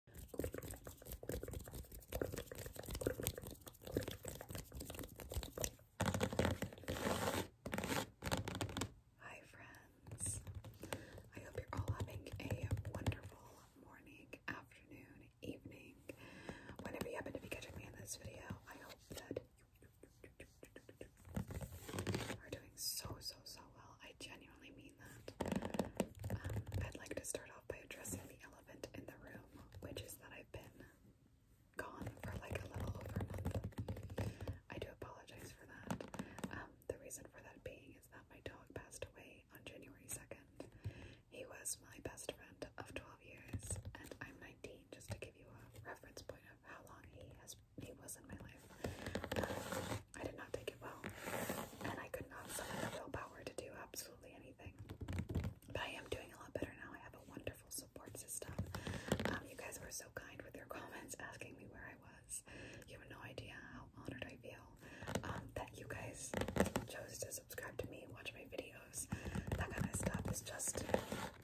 Hi, friends. I hope you're all having a wonderful morning, afternoon, evening. Whenever you happen to be catching me in this video, I hope that you are doing so, so, so well. I genuinely mean um, I'd like to start off by addressing the elephant in the room, which is that I've been gone for like a little over a month. I do apologize for that. Um, the reason for that being is that my dog passed away on January 2nd. He was my best friend of 12 years, and I'm 19, just to give you a reference point of how long he has he was in my life. Um, I did not take it well, and I could not summon the willpower to do absolutely anything. But I am doing a lot better now. I have a wonderful support system. Um, you guys were so kind with your comments asking me where I was. You have no idea how honored I feel um, that you guys chose to subscribe to me, watch my videos. That kind of stuff is just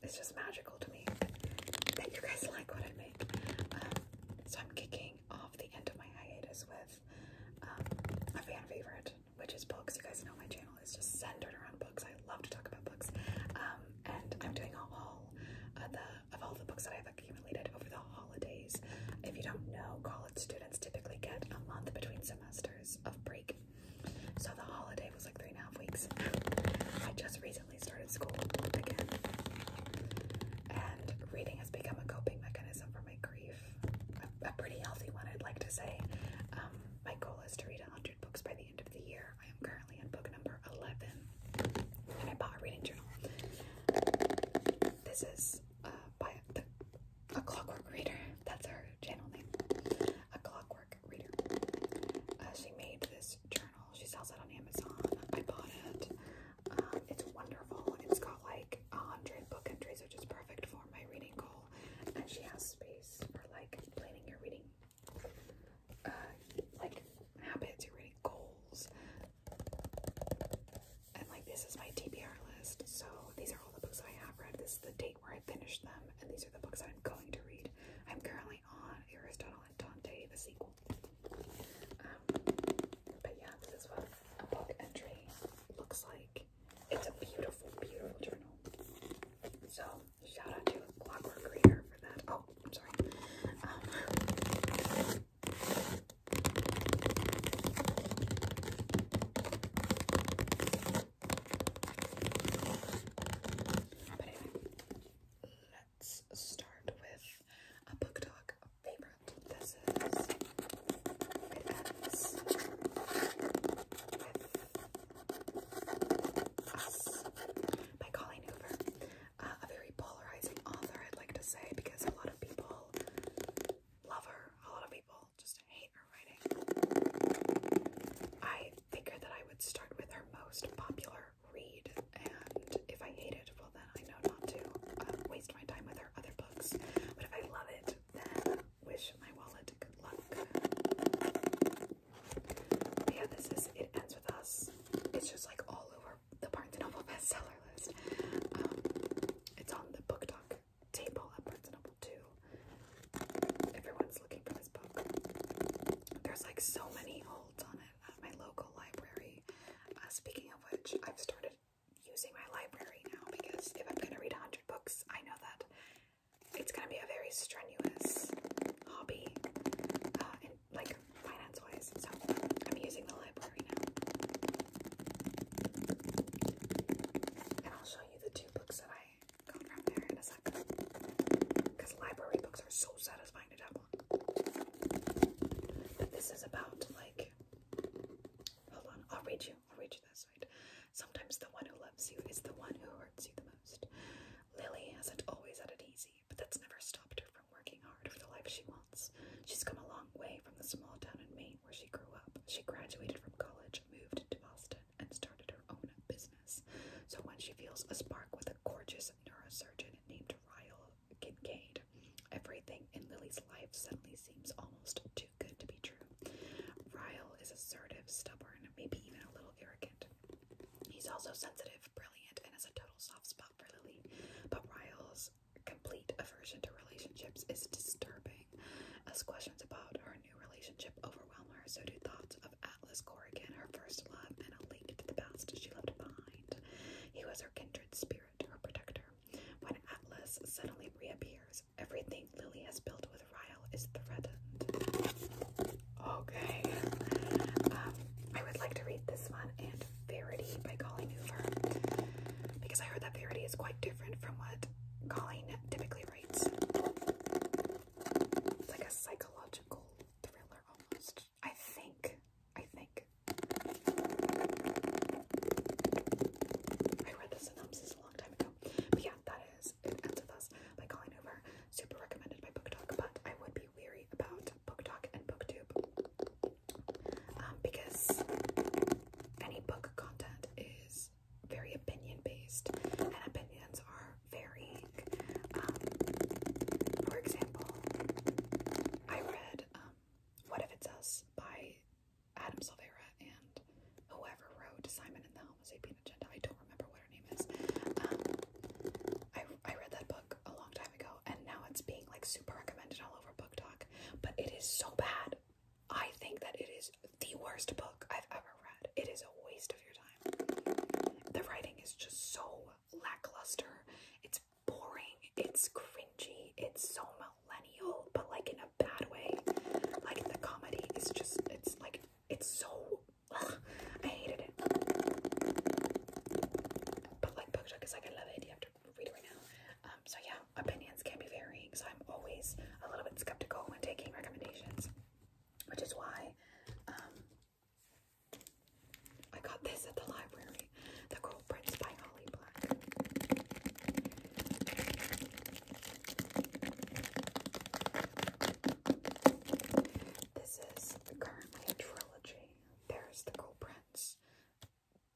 it's just magical to me that you guys like what I make. Um, so I'm kicking off the end of my hiatus with um, a fan favorite, which is books. You guys know my channel is just centered around books. I love to talk about books. Um, and I'm doing a haul uh, the, of all the books that I've accumulated over the holidays. If you don't know, college students typically get a month between semesters of break. So the holiday was like three and a half weeks. I just recently started school again. And reading has become a coping mechanism for me grief, a, pretty healthy one, I'd like to say. Um, my goal is to read 100 books by the end of the year. I am currently on book number 11, and I bought a reading journal. This is uh, by A Clockwork Reader. That's her channel name. A Clockwork Reader. Uh, she made this journal. She sells it on Amazon. I bought it. Um, it's wonderful. It's got like a hundred book entries, which is perfect for my reading goal. And she has space for like planning your reading, uh, like habits, your reading goals. And like this is my TBR list. So these are all the books that I have read. This is the date where I finished them, and these are the books I'm going to read. I'm currently on Aristotle and Dante, the sequel. Um, but yeah, this is what a book entry looks like. It's a beautiful, beautiful journal. So shout out to Clockwork Reader for that. Oh, I'm sorry. Um, but anyway, let's start with a book talk favorite. This is by Colleen Hoover. Uh, a very polarizing author, I'd like to say, because a lot of people love her, a lot of people just hate her writing. I figured that I would start with her most popular read, and if I hated, well, well I know not to um, waste my time with her other books. But if I love it, then wish my wallet good luck. yeah, this is It Ends With Us. It's just like all over the Barnes & Noble bestseller list. Um, it's on the book talk table at Barnes & Noble too. Everyone's looking for this book. There's like so many holds on it at my local library. Uh, speaking of which, I've started using my library now because if I'm gonna read 100 books, I know that it's gonna be a very strenuous hobby, uh, like finance wise. So I'm using the library now. I'll show you the two books that I got from there in a sec. Because library books are so satisfying to dabble But this is about like Hold on, I'll read you. I'll read you that side. Sometimes the one who loves you is the one who hurts you the most. Lily hasn't always had it easy, but that's never stopped her from working hard for the life she wants. She's come a long way from the small town in Maine where she grew up. She graduated from college, moved to Boston, and started her own business. So when she feels a spark with a gorgeous neurosurgeon named Ryle Kincaid, Everything in Lily's life suddenly seems almost too good to be true. Ryle is assertive, stubborn, maybe even a little arrogant. He's also sensitive, brilliant, and has a total soft spot for Lily. But Ryle's complete aversion to relationships is disturbing. As questions about her new relationship overwhelm her, so do thoughts of Atlas Corrigan, her first love, and a link to the past she left behind. He was her kindred spirit her protector. When Atlas suddenly reappears, everything Lily has built with Ryle is threatened. Okay. Um, I would like to read this one and Verity by Colleen Hoover because I heard that Verity is quite different from what Colleen typically writes. like a psychological thriller almost. I think. I think. I read the synopsis a long time ago. But yeah, that is It Ends Us by Colleen Hoover. Super recommended by BookTok, but I would be weary about BookTok and BookTube. Um, because any book content is very opinion based, and opinions are varying. Um, for example, I read um, what If It's Us by Adam Silvera and whoever wrote Simon and the Homo Sapien Agenda. I don't remember what her name is. Um, I, I read that book a long time ago and now it's being like super recommended all over Book Talk, but it is so bad. I think that it is the worst book I've ever read. It is a waste of your time. The writing is just so lackluster. It's boring, it's cringy, it's so millennial, but like in a bad way. Like the comedy is just, it's like, it's so, I hated it. But like BookTok is like, I love it, you have to read it right now. Um, so yeah, opinions can be varying, so I'm always a little bit skeptical when taking recommendations, which is why um, I got this at the library. The Coral Prince by Holly Black. This is currently a trilogy. There's the Coral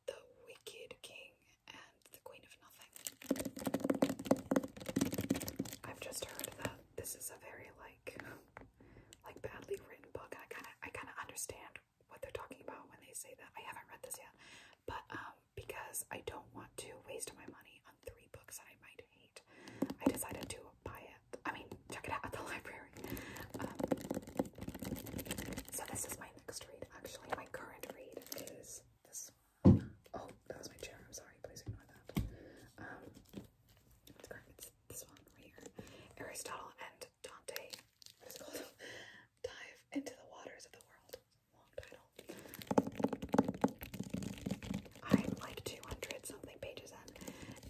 the Wicked King, and the Queen of Nothing. I've just heard that this is a very like like badly written book. I kind of I kind of understand what they're talking about when they say that. I haven't read this yet, but um, because I don't want to waste my money on three books that I might hate, I decided to buy it. I mean, check it out at the library. Um, so this is my next read. Actually, my current read is this. Oh, that was my chair. I'm sorry. Please ignore that. Um, it's this one right here. Aristotle and Dante, what is called? Dive into the waters of the world. Long title. I'm like 200 something pages in,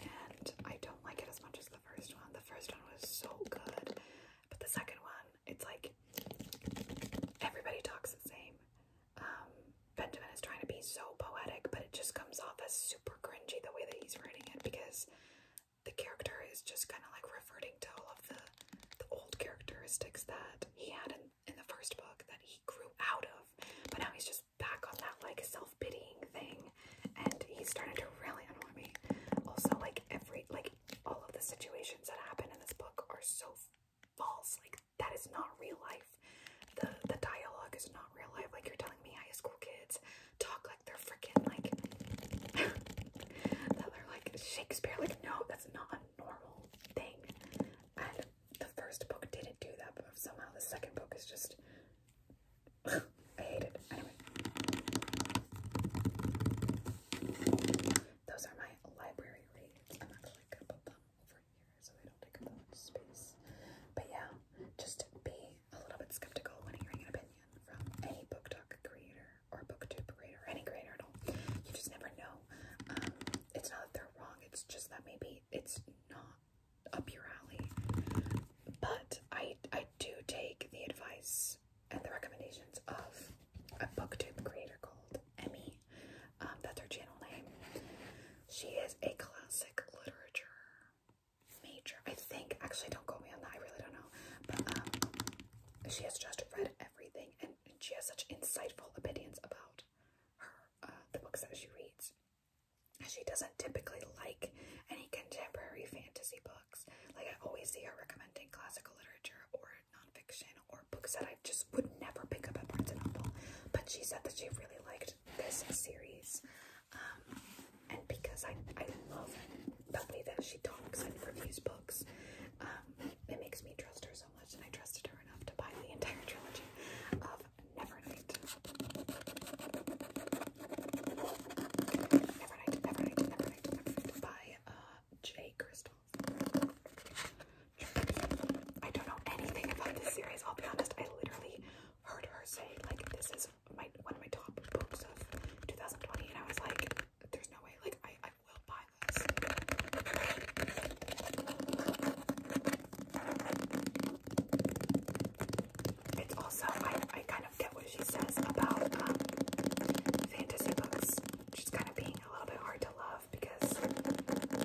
and I don't like it as much as the first one. The first one was so good, but the second one, it's like everybody talks the same. Um, Benjamin is trying to be so poetic, but it just comes off as super cringy the way that he's writing it because the character is just kind of like reverting to all of the the old characteristics that he had in, in the first book that he grew out of, but now he's just back on that like self-pitying thing, and he's starting to really annoy me. Also, like every like all of the situations that happen in this book are so false. Like that is not real life. The the dialogue is not real life. Like you're telling me high school kids talk like they're freaking like that they're like Shakespeare. Like, no, that's not a normal thing. And the first book didn't do that, but somehow the second book is just I hate it. Anyway. Those are my library reads. I'm actually gonna put them over here so they don't take up space. But yeah, just be a little bit skeptical when hearing an opinion from any book talk creator or booktube creator, any creator at all. You just never know. Um, it's not that they're wrong, it's just that maybe it's not up your alley. But I, I do take the advice and the recommendations of a booktube creator called Emmy. Um, that's her channel name. She is a classic literature major. I think actually, don't go me on that. I really don't know, but um, she has just read everything, and she has such insightful opinions about her uh, the books that she reads. She doesn't typically like any contemporary fantasy books. Like I always see her recommending classical literature or nonfiction or books that I just would never pick up at Barnes and Noble. But she said that she really liked this series. Um, and because I, I love the way that she talks and reviews books, um, it makes me trust her so much, and I trusted her enough to buy the entire trilogy of Nevernight. Nevernight, Nevernight, Nevernight, Nevernight by uh, J. Crystal. I don't know anything about this series, I'll be honest. I literally heard her say like this is my one of my top books of 2020 and I was like there's no way like I, I will buy this it's also I, I kind of get what she says about um, fantasy books which is kind of being a little bit hard to love because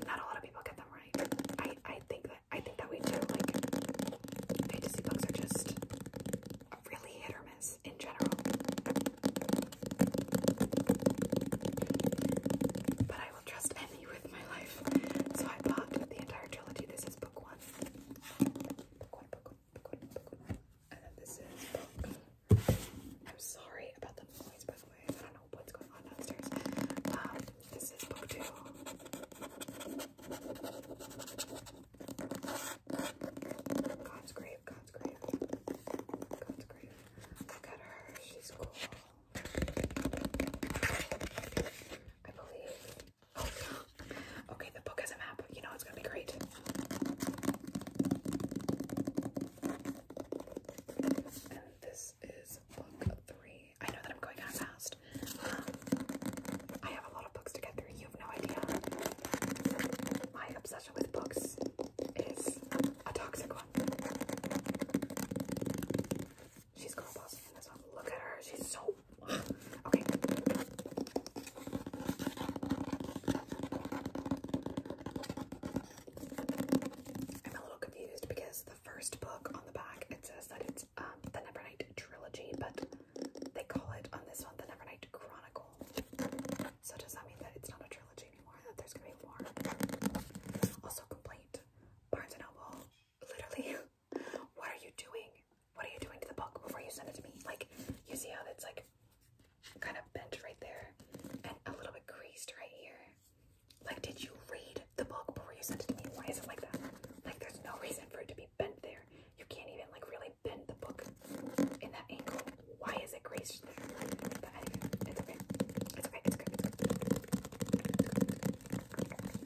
not a lot of people get them right I, I think that I think that we do. Like, fantasy books are just really hit or miss in general. But I will trust Emmy with my life. So I bought the entire trilogy. This is book one. Book one, book one, book one, book one. And then this is book. I'm sorry about the noise, by the way. I don't know what's going on downstairs. Um, this is book two. God's grave, God's grave, God's grave. Look at her, she's cool. I believe. Oh, yeah. Okay, the book has a map. You know it's gonna be great. And this is book three. I know that I'm going on fast. I have a lot of books to get through. You have no idea. My obsession with books is a toxic one. She's girl bossing in this one. Look at her. She's so okay. I'm a little confused because the first book on the back it says that it's um, the Never trilogy, but they call it on this one the Nevernight Chronicle. So does that mean that it's not a trilogy anymore? That there's gonna be more. Also, complaint. Barnes and Noble. Literally, what are you doing? What are you doing to the book before you send it to me? Like, you see how it's like kind of bent right there and a little bit creased right here. Like, did you read the book before you sent it to me. Why is it like that? Like, there's no reason for it to be bent there. You can't even, like, really bend the book in that angle. Why is it graced there? But it's okay. It's okay.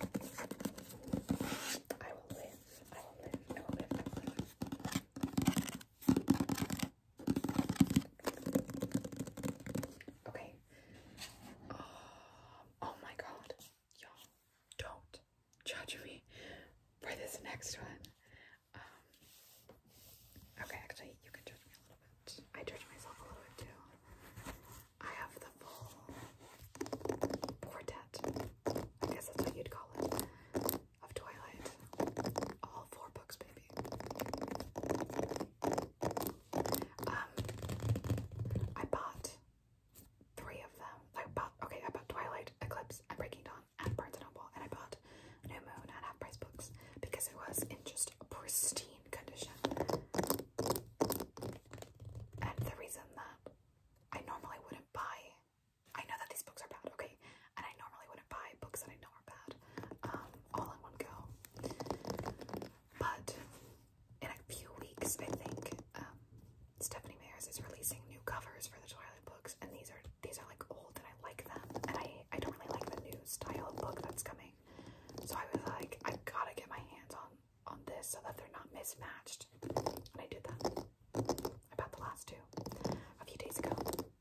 It's good. I will live. I will live. I will live. Okay. oh, oh my god y'all don't judge me for this next one. Um, okay, actually, you can judge me a little bit. I judge myself a little bit too. I have the full quartet, I guess that's what you'd call it, of Twilight. All four books, baby. Um, I bought three of them. I bought okay, I bought Twilight, Eclipse, and Breaking Dawn at Barnes and Noble, and I bought New Moon at Half Price Books because it was in just pristine condition. And the reason that I normally wouldn't buy, I know that these books are bad, okay, and I normally wouldn't buy books that I know are bad, um, all in one go. But in a few weeks, I think um, Stephanie Meyers is releasing new covers for the toilet books, and these are these are like old, and I like them, and I I don't really like the new style of book that's coming. So I was like, I gotta get my hands on on this so that they're not mismatched, and I did that. I bought the last two a few days ago,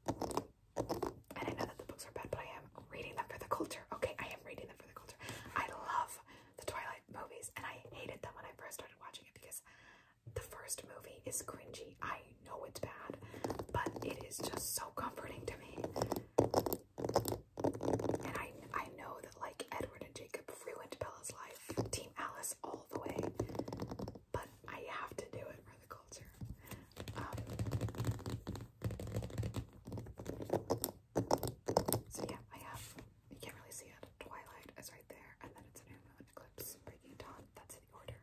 and I know that the books are bad, but I am reading them for the culture. Okay, I am reading them for the culture. I love the Twilight movies, and I hated them when I first started watching it because the first movie is cringy. I know it's bad, but it is just so comforting to me. And I I know that like Edward and Jacob ruined Bella's life, Team Alice all the way, but I have to do it for the culture. Um, so yeah, I have, you can't really see it, Twilight is right there, and then it's a Eclipse, Breaking Dawn, that's the order.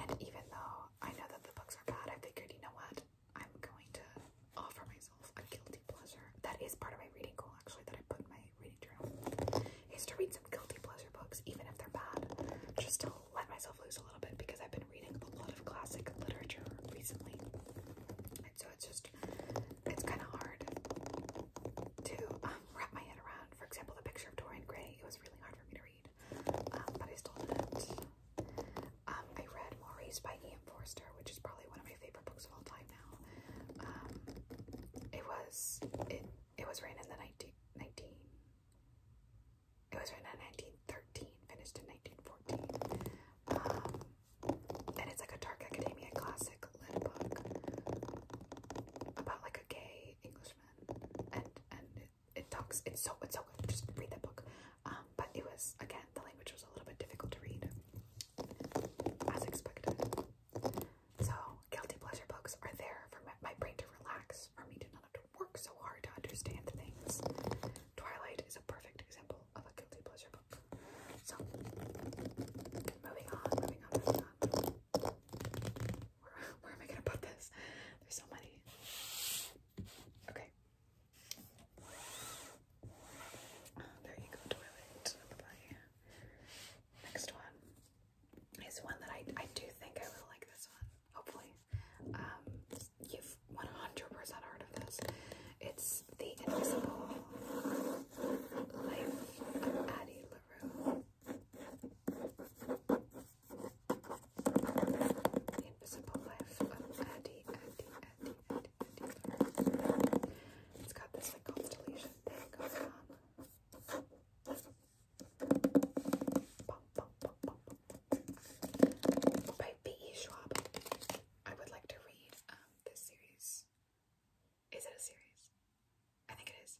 And even though I know that the books are bad, I figured, you know what, I'm going to offer myself a guilty pleasure. That is part of my reading goal, actually, that I put in my reading journal, is to read some guilty pleasure books, even if they're bad, just i let myself loose a little bit because I've been reading a lot of classic literature recently. And so it's just, it's kind of hard to um, wrap my head around. For example, the picture of Dorian Gray, it was really hard for me to read, um, but I still did it. Um, I read Maurice by Ian Forster, which is probably one of my favorite books of all time now. it was, it, it was written in the 19, 19 it was written in 1913, finished in 1914. Um, and it's like a dark academia classic lit book about like a gay Englishman. And and it, talks, it's so, it's so good. Just read that book. Um, but it was, again, the language was a little bit difficult to read, as expected. So, guilty pleasure books are there for my, my brain to relax, for me to not to work so hard to understand things. Twilight is a perfect example of a guilty pleasure book. So, moving on, moving on, moving on. Where, am I gonna put this? There's so many. Okay. there you go, Twilight. bye Next one is one that I I do think I will like this one hopefully, um, you've 100% heard of this. It's The Invisible Life of Addie LaRue. The Invisible Life of Addie, Addie, Addie, Addie, It's got this like constellation thing by B.E. Schwab. I would like to read um, this series. Is it a series? I think it is.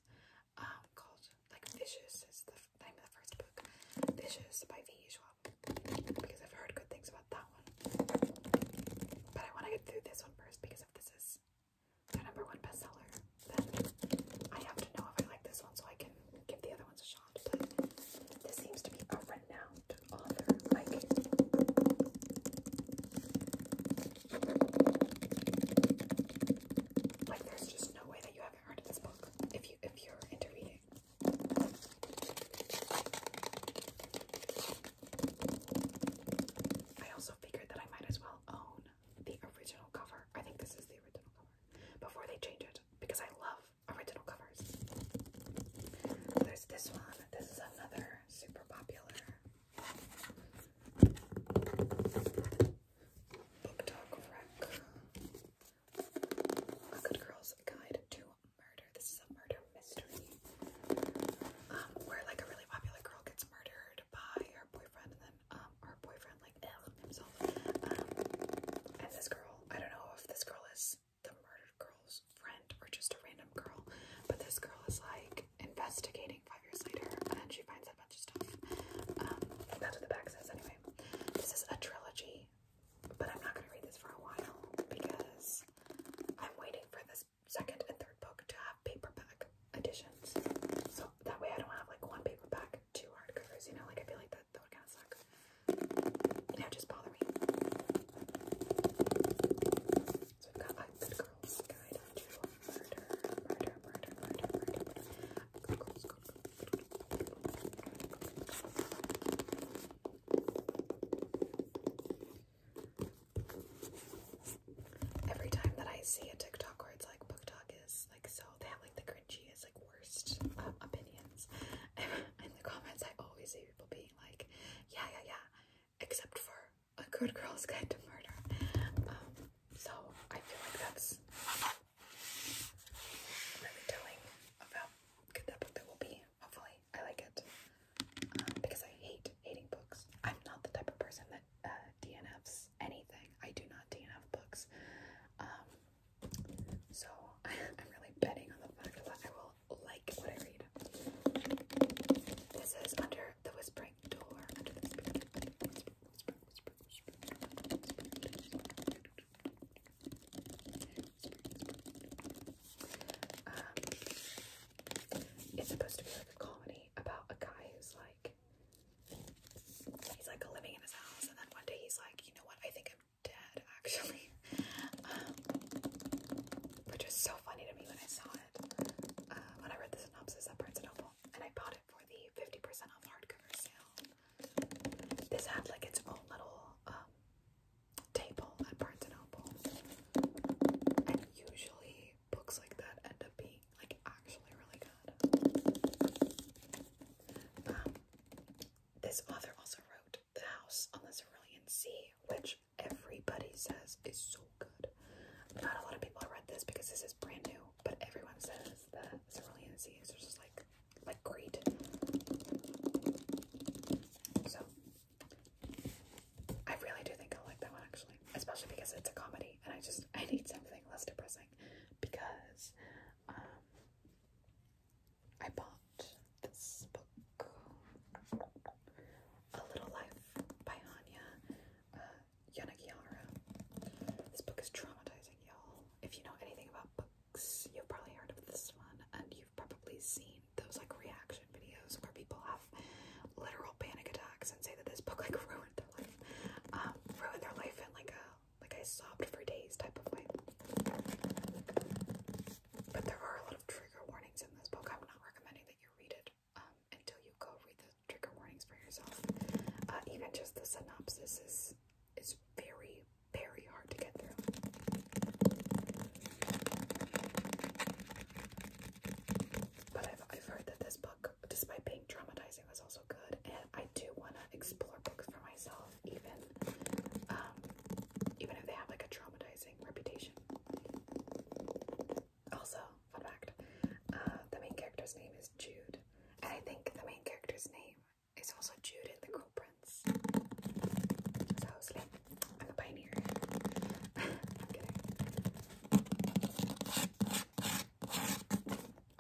Um, called like Vicious is the name of the first book. Vicious by V.E. Schwab because I've heard good things about that one. But I want to get through this one first because if this is their number one bestseller, then I have to know if I like this one so I can give the other ones a this seems to be a renowned author. Like, like there's just no way that you haven't heard of this book if you if you're into I also figured that I might as well own the original cover. I think this is the original cover before they change it because I love original covers. There's this one. This is another super popular book talk wreck. A Good Girl's Guide to Murder. This is a murder mystery um, where like a really popular girl gets murdered by her boyfriend and then um, her boyfriend like himself. Um, and this girl, I don't know if this girl is the murdered girl's friend or just a random girl, but this girl is like investigating five years later and she finds a bunch of stuff. Um, that's what the back says anyway. This is a trilogy, but I'm not gonna read this for a while because I'm waiting for this second and third book to have paperback editions. So that way I don't have like one paperback, two hardcovers, you know, like I feel like that would that would kind of suck. Yeah, just bother me. So we've got like the girl's guide to murder, murder, murder, murder, murder, murder. Go, go, go, go. Every time that I see a TikTok where it's like book talk is like so they have like the cringy is like worst uh, opinions in the comments. I always see people being like, yeah, yeah, yeah, except for a good girl's guide to murder. Um, so I feel like that's really about good book that will be. Hopefully, I like it um, because I hate hating books. I'm not the type of person that uh, DNFs anything. I do not DNF books. Um, so I'm really betting on the fact that I will like what I read. This is under the whispering door. it's supposed to be like a comedy about a guy who's like he's like living in his house, and then one day he's like, you know what? I think I'm dead, actually. Um, which is so funny to me when I saw it. Uh, when I read the synopsis at Barnes & Noble, and I bought it for the 50% off hardcover sale. This had like its own little um, table at Barnes & Noble, and usually books like that end up being like actually really good. Um, this author also wrote The House on the Cerulean Sea, which everybody says is so good. Not a lot of people have read this because this is brand new, but everyone says that Cerulean Sea is just like like great. So I really do think I'll like that one actually, especially because it's a comedy, and I just I need something less depressing because um, I bought this book, A Little Life by Hanya uh, This book is traumatizing, y'all. If you know anything about books, you've probably heard of this one, and you've probably seen those like reaction videos where people have literal panic attacks and say that this book like ruined their life, um, ruined their life in like a like I sobbed for days type of way. But there are a lot of trigger warnings in this book. I'm not recommending that you read it um, until you go read the trigger warnings for yourself. Uh, even just the synopsis is is very very hard to get through. But I've I've heard that this book, despite being traumatizing it was also good, and I do want to explore books for myself, even um, even if they have like a traumatizing reputation. Also, fun fact: uh, the main character's name is Jude, and I think the main character's name is also Jude in The Cruel Prince. So I was like, I'm a pioneer. I'm kidding.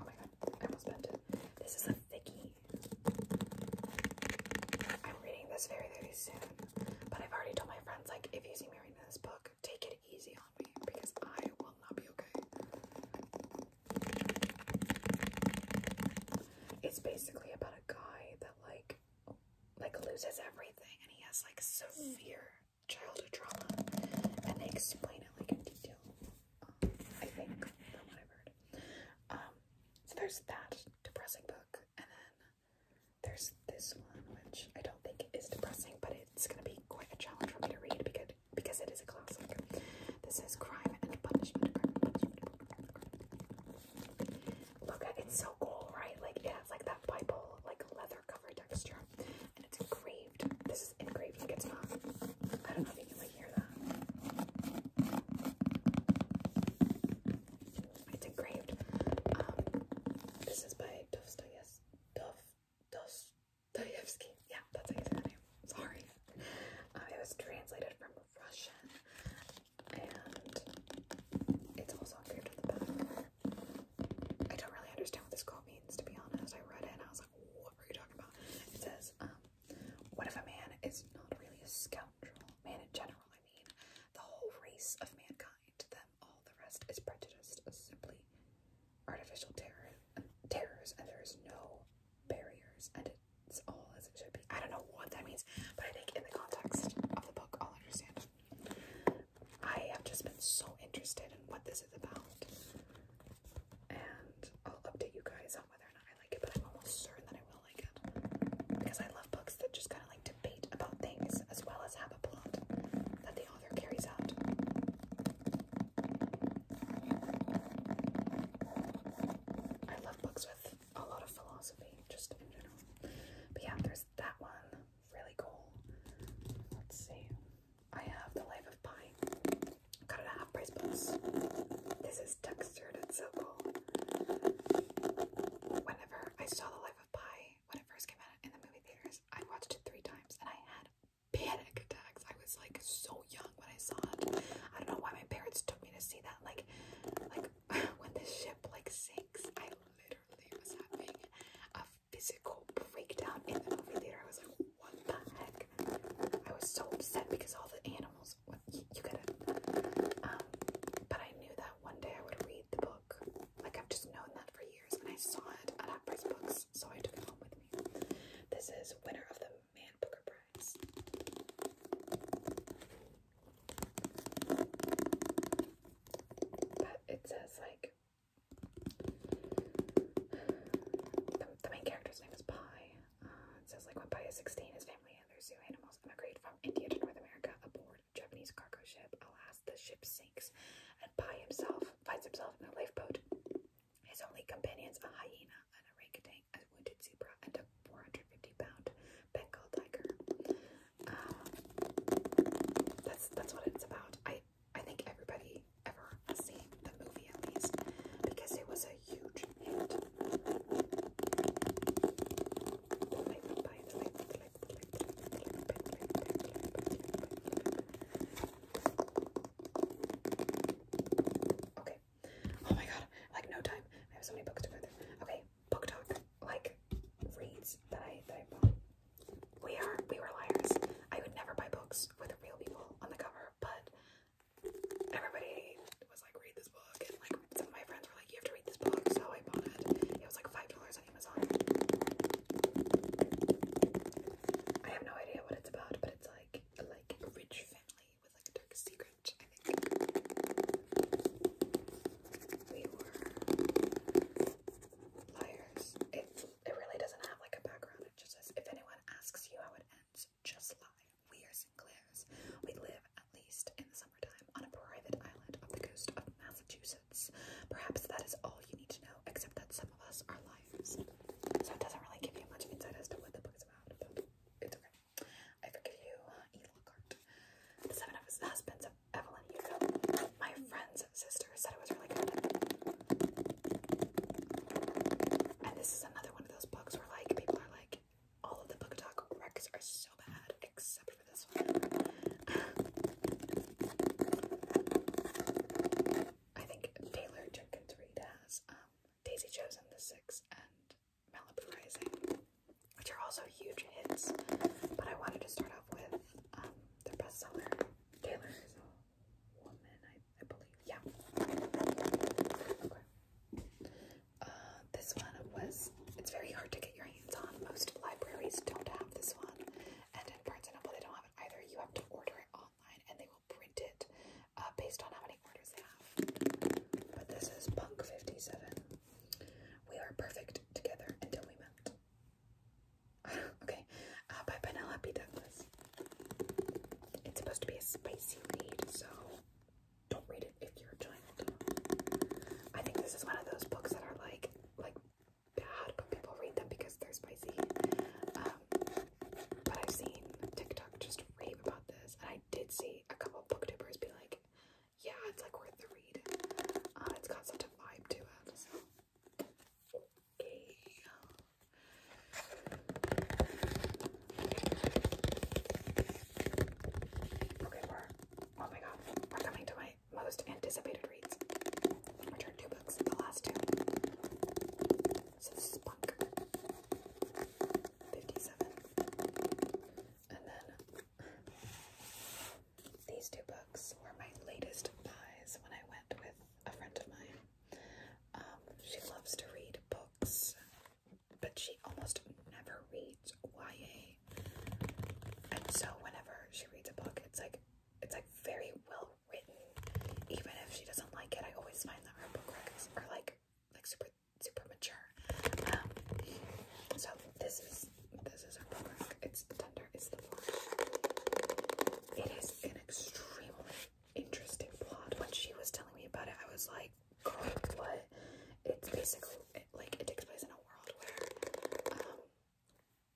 Oh my god, I almost bent This is a thicky. I'm reading this very, very soon. But I've already told my friends, like, if you see me reading this book, take it easy on me because I will not be okay. It's basically about a guy that like like loses everything and he has like severe childhood trauma and they explain it like in detail. I think, um, so there's that depressing book, and then there's this one, which I don't think is depressing, but it's going to be quite a challenge for me to read because because it is a classic. This is Crime and Punishment. Crime Look it's so cool, right? Like it has like that Bible like leather cover texture, it's engraved. This is engraved like it's not. I don't know if you can hear that. It's engraved. Um, this is by Dostoyevsky. Dostoyevsky. Yeah, that's how you say that name. Sorry. Uh, it was translated from Russian, and it's also engraved on the back. I don't really understand what this quote means, to be honest. I read it and I was like, what were you talking about? It says, um, what if a man is not really a scoundrel? Man in general, I mean. The whole race of mankind, them, all the rest is prejudiced, simply artificial terror, um, terrors, and there is no barriers, and it's all as it should be. I don't know what that means, but I think in the context of the book, I'll understand. I have just been so interested in what this is about and I'll update you guys on whether or not I like it, but I'm almost certain that I will like it because I love books that just kind of like debate about things as well as have a plot that the author carries out. I love books with a lot of philosophy, just in general. But yeah, there's that one. Really cool. Let's see. I have The Life of Pine. Got it at price books. This is textured. It's so cool. Whenever I saw The Life of Pi when it first came out in the movie theaters, I watched it three times and I had panic attacks. I was like so young when I saw it. I don't know why my parents took me to see that. Like, like when the ship like sinks, I literally was having a physical breakdown in the movie theater. I was like, what the heck? I was so upset because all the animals, what, you, you get Um, but I knew that one day I would read the book. Like, I've just known that for years, and I saw it at Half Books, so I took it home with me. This is winner of the Man Booker Prize. But it says, like, the, main character's name is Pi. Uh, it says, like, when Pi is 16, his family and their zoo animals immigrate from India to North America aboard a Japanese cargo ship. Alas, the ship sinks, and Pi himself finds himself in a lifeboat. His only companions, a hyena, an orangutan, a wounded zebra, and a 450-pound Bengal tiger. Uh, that's that's what it's about. I I think everybody ever seen the movie at least because it was a huge hit. Okay. Oh my god, like no time. I have so many books to read. Okay, book talk. Like reads that I that I we are we were liars. I would never buy books with real people on the cover, but everybody was like, read this book, and like some of my friends were like, you have to read this book, so I bought it. It was like five dollars on Amazon. I have no idea what it's about, but it's like like rich family with like a dark secret, We were liars. It really doesn't have like a background. It just says, if anyone asks you how it ends, just lie. We are Sinclairs. We live, at least in the summertime, on a private island off the coast of Massachusetts. Perhaps that is all you need to know, except that some of us are liars. So it doesn't really give you much insight as to what the book is about, but it's okay. I forgive you, E. Lockhart. The seven husbands of Evelyn Hugo. My friends friends sisters said it was really good. And this is another one of those books where like people are like, all of the book talk records are so bad except for this one. I think Taylor Jenkins Reid has um, Daisy Chosen, The Six, and Malibu Rising, which are also huge hits. But I wanted to start off with um, bestseller, Taylor's woman, I, I believe. Yeah. Uh, this one was, it's very hard to get your hands on. Most libraries don't have this one. And in Barnes & Noble, they don't have it either. You have to order it online and they will print it uh, based on how many orders they have. But this is Punk 57. We are perfect together until we met. okay, uh, by Penelope Douglas. It's supposed to be a spicy read, so don't read it if you're a child. I think this is one of those books that are like, like bad, but people read them because they're spicy. Um, but I've seen TikTok just rave about this, and I did see a couple booktubers be like, "Yeah, it's like worth the read. Uh, it's got such a vibe to it." Okay. Okay, we're oh my god, we're coming to my most anticipated reads, which are two books, the last two. 57. And then these two books were my latest buys when I went with a friend of mine. Um, she loves to read books, but she almost never reads YA. And so whenever she reads a book, it's like it's like very well written. Even if she doesn't like it, I always find that her book records are like like super super mature. Um, so this is this is her book. It's the. It is an extremely interesting plot. When she was telling me about it, I was like, girl, what? It's basically, like, it takes place in a world where um,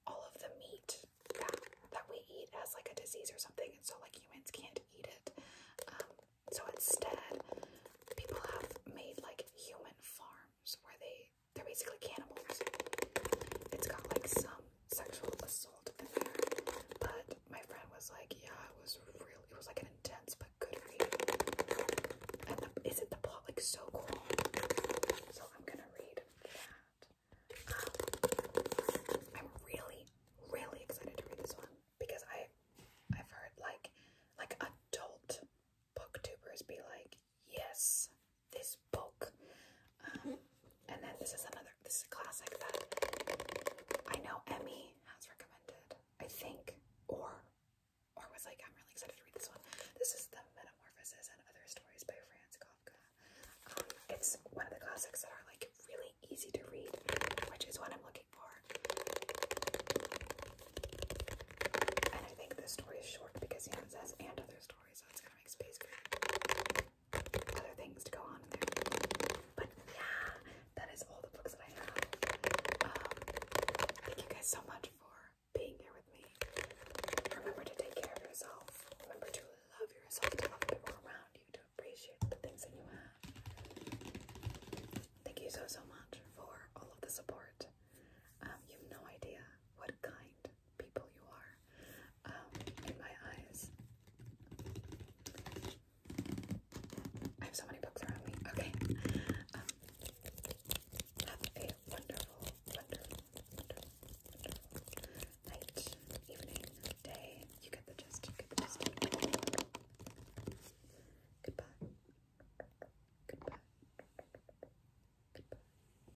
all of the meat that, that we eat has, like, a disease or something, and so, like, humans can't eat it. Um, so instead, people have made, like, human farms where they they're basically cannibals. It's got like some sexual assault in there, but my friend was like, "Yeah, it was really, It was like an intense but good read." And the, isn't the plot like so cool? So I'm gonna read that. Um, I'm really, really excited to read this one because I, I've heard like, like adult booktubers be like, yes, this book. Um, and then this is another, this is a classic that I know Emmy has recommended, I think, or or was like, I'm really excited to read this one. This is The *Metamorphosis* and Other Stories by Franz Kafka. Um, it's one of the classics that are like really easy to read, which is what I'm looking for. And I think this story is short because, you it says and other stories, so it's just other things to go on there. But yeah, that is all the books that I have. Um, thank you guys so much for being here with me. Remember to take care of yourself. Remember to love yourself, to love people around you, to appreciate the things that you have. Thank you so so much for all of the support. Um, you have no idea what kind people you are um, in my eyes. I have so many books around me. Okay. Um, have a wonderful, wonderful, wonderful, night, evening, day. You get the gist. Goodbye. Goodbye. Goodbye.